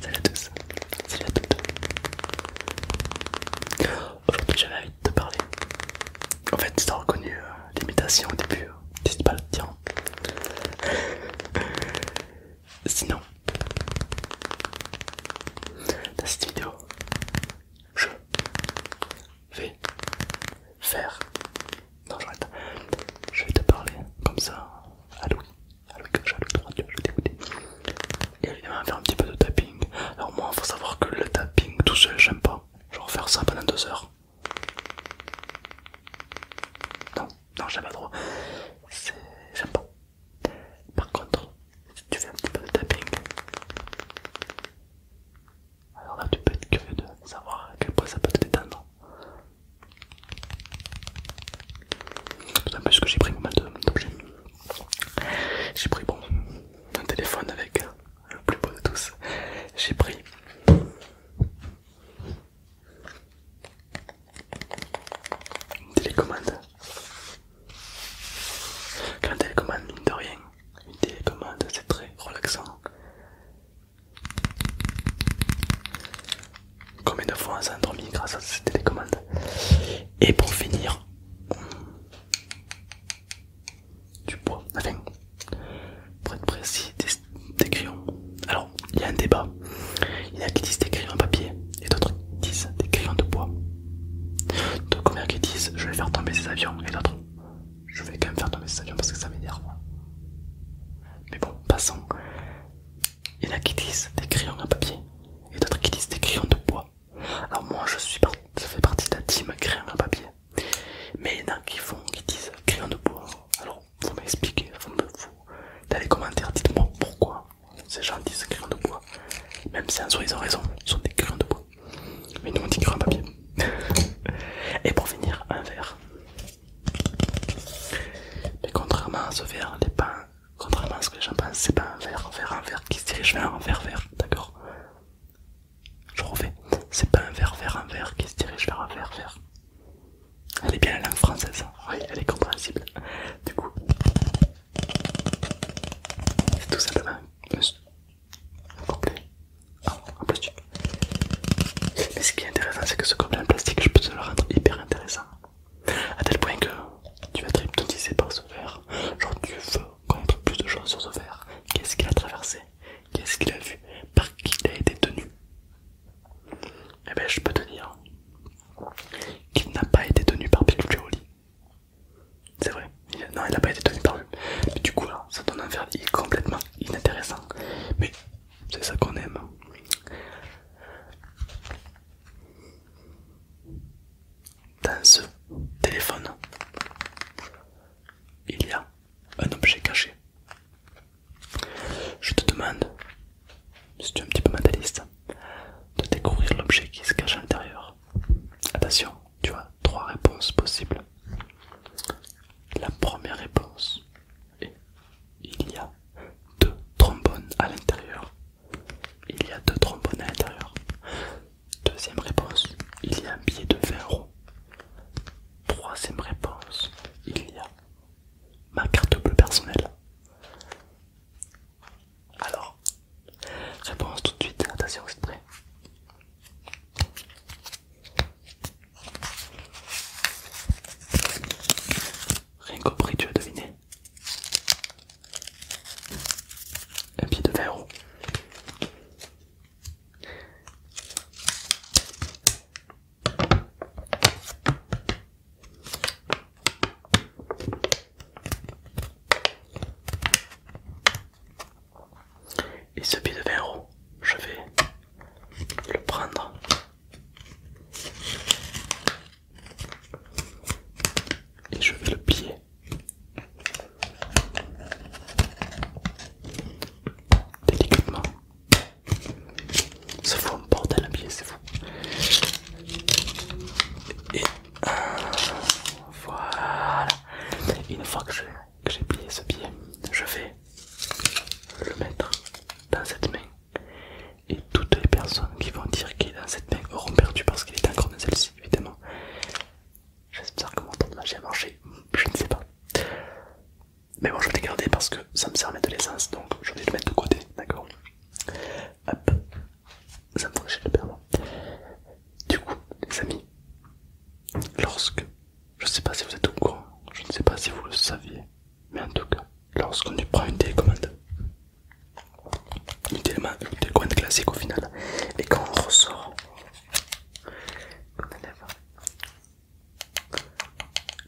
Salut à tous, salut à toutes. Aujourd'hui j'avais envie de te parler. En fait tu t'as reconnu euh, l'imitation au début, n'hésite hein. pas à le dire. Sinon, dans cette vidéo, je vais faire. Non, j'arrête. Je vais te parler comme ça à Louis, à Louis j'ai à Louis je vais t'écouter. Et évidemment, faire un petit peu de tapping. Alors, moi, faut savoir que le tapping tout seul, j'aime pas. Genre faire ça pendant deux heures. Non, non, j'aime pas trop. J'aime pas. Par contre, si tu fais un petit peu de tapping, alors là, tu peux être curieux de savoir à quel point ça peut te détendre. parce que j'ai pris combien d'objets. J'ai pris bon, un téléphone avec le plus beau de tous. J'ai pris une télécommande quand télécommande, mine de rien, une télécommande c'est très relaxant. Combien de fois on s'est grâce à cette télécommande Et pour finir, du bois, enfin, pour être précis, des, crayons. Alors, il y a un débat. Il y en a qui disent des crayons en papier et d'autres qui disent des crayons de bois de combien qui disent je vais faire tomber ces avions et d'autres je vais quand même faire tomber ces avions parce que ça m'énerve. Mais bon, passons. Il y en a qui disent des crayons à papier et d'autres qui disent des crayons de bois. Alors moi je suis ça je fais partie de la team crayons à papier. Mais il y en a qui font qui disent crayons de bois. Alors vous m'expliquez, vous me vous dans les commentaires dites-moi pourquoi ces gens disent crayons de bois. Même si en soi ils ont raison, ils sont des crayons de bois. Mais nous on dit un papier. Et pour finir, un verre. Mais contrairement à ce verre, contrairement à ce que les gens pensent, c'est pas un verre verre, un verre qui se dirige vers un verre vert, d'accord Je refais, c'est pas un verre verre, un verre qui se dirige vers un verre verre. Elle est bien la langue française, hein. oui, elle est compréhensible. Du coup, c'est tout simplement un gobelet ah, en plastique. Mais ce qui est intéressant, c'est que ce gobelet en plastique, je peux te le rendre hyper intéressant. A tel point que tu vas être hypnotisé par ce verre. Genre, tu veux connaître plus de choses sur ce verre. Qu'est-ce qu'il a traversé Qu'est-ce qu'il a vu Par qui il a été tenu Eh bien, je peux te dire qu'il n'a pas été tenu par Piccoli, c'est vrai, non, il n'a pas été tenu par lui. Mais du coup, là, ça donne un verre complètement inintéressant. Mais c'est ça qu'on aime. Dans ce téléphone, il y a un objet caché. Je te demande, si tu es un petit peu mentaliste, de découvrir l'objet qui se cache à l'intérieur. Attention, tu as trois réponses possibles. La première réponse est il y a deux trombones à l'intérieur. Il y a deux trombones à l'intérieur. Deuxième réponse, il y a un billet de 20 euros. Troisième réponse, il y a ma carte bleue personnelle. Alors, réponse tout de suite, attention, c'est prêt. Rien compris, tu as deviné Un pied de verre et ce pied de 20 euros, je vais le prendre. Et je vais le plier. Délicatement. Ça forme un bordel à plier, c'est et voilà. Une fois que j'ai plié ce pied, je vais le mettre dans cette main. Et toutes les personnes qui vont dire qu'il est dans cette main auront perdu parce qu'il est encore dans celle-ci, évidemment. J'espère que mon temps de magie a marché, je ne sais pas. Mais bon, je vais le garder parce que ça me sert à mettre de l'essence, donc je vais le mettre de côté, d'accord Hop, ça me le Du coup, les amis, lorsque, je sais pas si vous êtes au courant, je ne sais pas si vous le saviez, mais en tout cas, lorsqu'on prend une télécommande, une télécommande classique au final, et quand on ressort, on enlève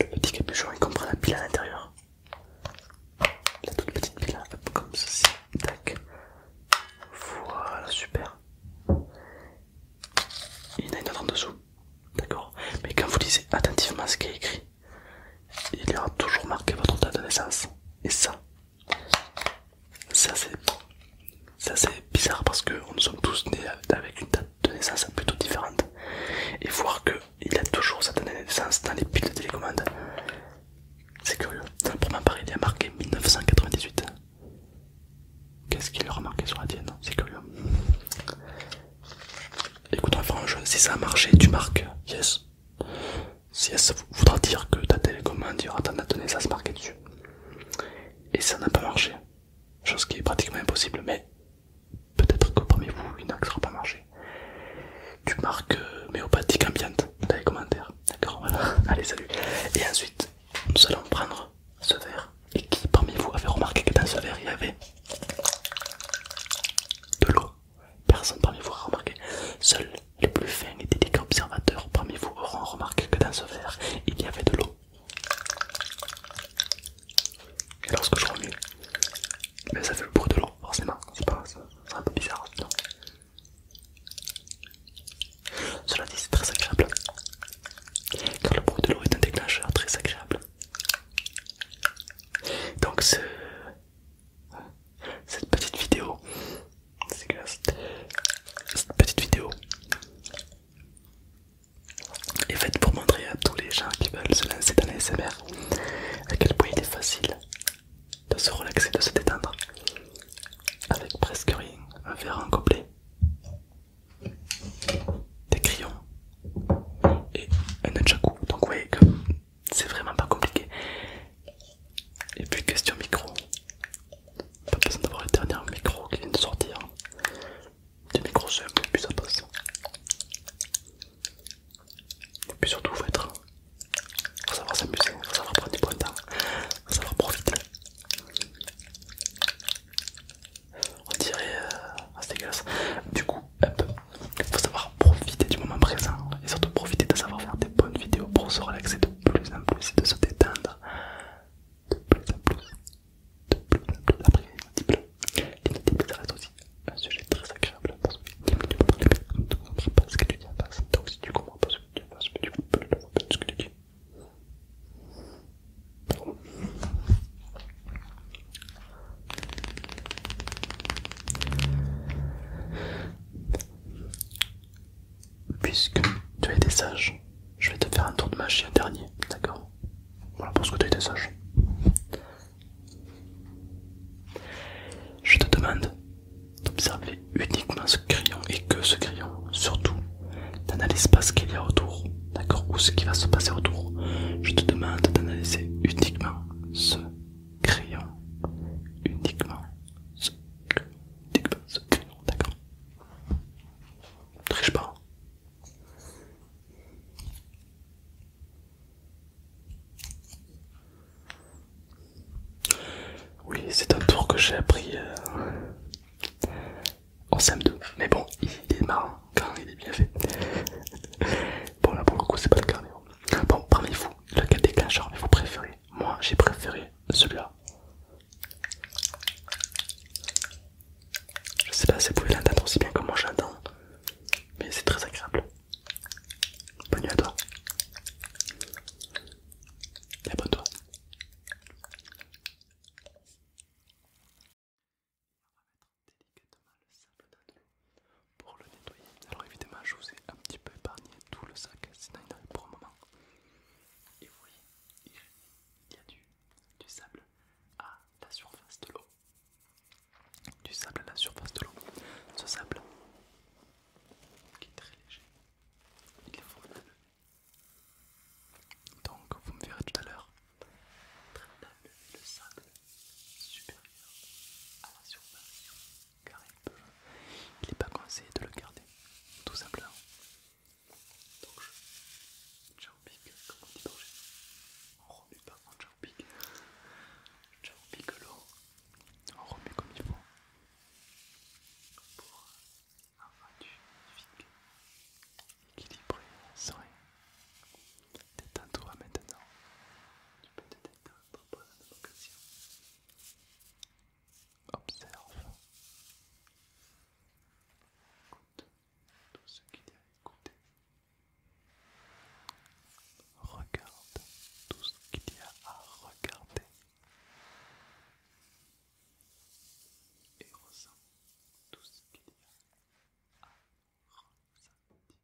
le petit capuchon il comprend la pile à l'intérieur, la toute petite ville comme ceci, tac, voilà, super. Il y en a une autre en dessous, d'accord Mais quand vous lisez attentivement ce qui est écrit, il y aura toujours marqué votre date de naissance. Et ça, ça c'est ça c'est bizarre parce que nous sommes tous nés avec une date de naissance plutôt différente. Et voir que il a toujours sa date naissance dans les piles de télécommande. C'est curieux. Pour ma part, il a marqué 1998. Qu'est-ce qu'il a remarqué sur la tienne C'est curieux. Écoute, un jeu, si ça a marché, tu marques yes. Si yes, voudra dire que ta télécommande il y aura ta date ça dessus. Et ça n'a pas marché. Chose qui est pratiquement impossible, mais peut-être que parmi vous, une axe n'aura pas marché, tu marques euh, méopathique ambiante dans les commentaires. D'accord, Allez, salut. Et ensuite, nous allons prendre ce verre. Et qui parmi vous avait remarqué que dans ce verre il y avait de l'eau Personne parmi vous a remarqué. Seuls les plus fins et dédiés observateurs parmi vous auront remarqué que dans ce verre il y avait de l'eau. Et lorsque je remue, ben, ça fait le bruit de l'eau, forcément, c'est pas, un peu bizarre non Cela dit, c'est très agréable, car le bruit de l'eau est un déclencheur très agréable. Donc ce... cette petite vidéo, cette petite vidéo et faites pour montrer à tous les gens qui veulent se lancer dans l'ASMR à quel point il est facile de se relaxer, de se détendre avec presque rien, un verre en gobelet, des crayons et un nunchaku. Donc vous voyez que c'est vraiment pas compliqué. Et puis question micro, pas besoin d'avoir le dernier micro qui vient de sortir des micros peu et puis ça passe. Et puis surtout, faut être. Faut savoir s'amuser, faut savoir prendre du temps faut savoir profiter. On dirait. Euh, ah, c'est dégueulasse. Du coup, faut savoir profiter du moment présent et surtout profiter de savoir faire des bonnes vidéos pour se relaxer de plus en plus et de se détendre de plus en plus de bleu, après les notes Les notes bleues, ça reste aussi un sujet très agréable parce que tu ne comprends pas ce que tu dis en face. Donc si tu comprends pas ce que tu dis en face, tu ne pas pas ce que tu dis. Puisque tu as été sage, je vais te faire un tour de magie, dernier, d'accord voilà, ce que tu été sage. Je te demande d'observer uniquement ce crayon et que ce crayon, surtout, n'analyse pas ce qu'il y a autour, d'accord, ou ce qui va se passer autour. Je te demande d'analyser uniquement ce crayon, uniquement ce, uniquement ce crayon, d'accord. Triche pas, oui, c'est un tour que j'ai appris euh, en SAM2. Mais bon, il est marrant quand il est bien fait. bon, là pour le coup, c'est pas le carnet. Hein. Bon, parmi vous, lequel déclencheur vous préférez Moi, j'ai préféré celui-là. Je sais pas si vous pouvez l'entendre aussi bien que moi j'entends, mais c'est très agréable. Bonne nuit à toi. abonne-toi. délicatement le sable Pour le nettoyer, alors évidemment, je vous ai un petit peu épargné tout le sac, sinon il aurait pour un moment. Et vous voyez, il y a du sable à la surface de l'eau. Du sable à la surface de l'eau. Ce sable, qui est très léger, il est formidable. Donc vous me verrez tout à l'heure. Traitable le sable supérieur à la surface car il peut. Il n'est pas conseillé de le garder, tout simplement. Donc je tchao-pique, comme on dit dans on remue pas en tchao-pique l'eau, on remue comme il faut pour avoir du vide équilibré, serein. Détends-toi maintenant. Tu peux te détendre pendant vocation, Observe. Écoute tout ce qu'il y a à écouter. Regarde tout ce qu'il y a à regarder. Et ressens tout ce qu'il y a à ressentir.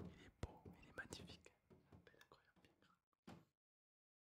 Il est beau, il est magnifique.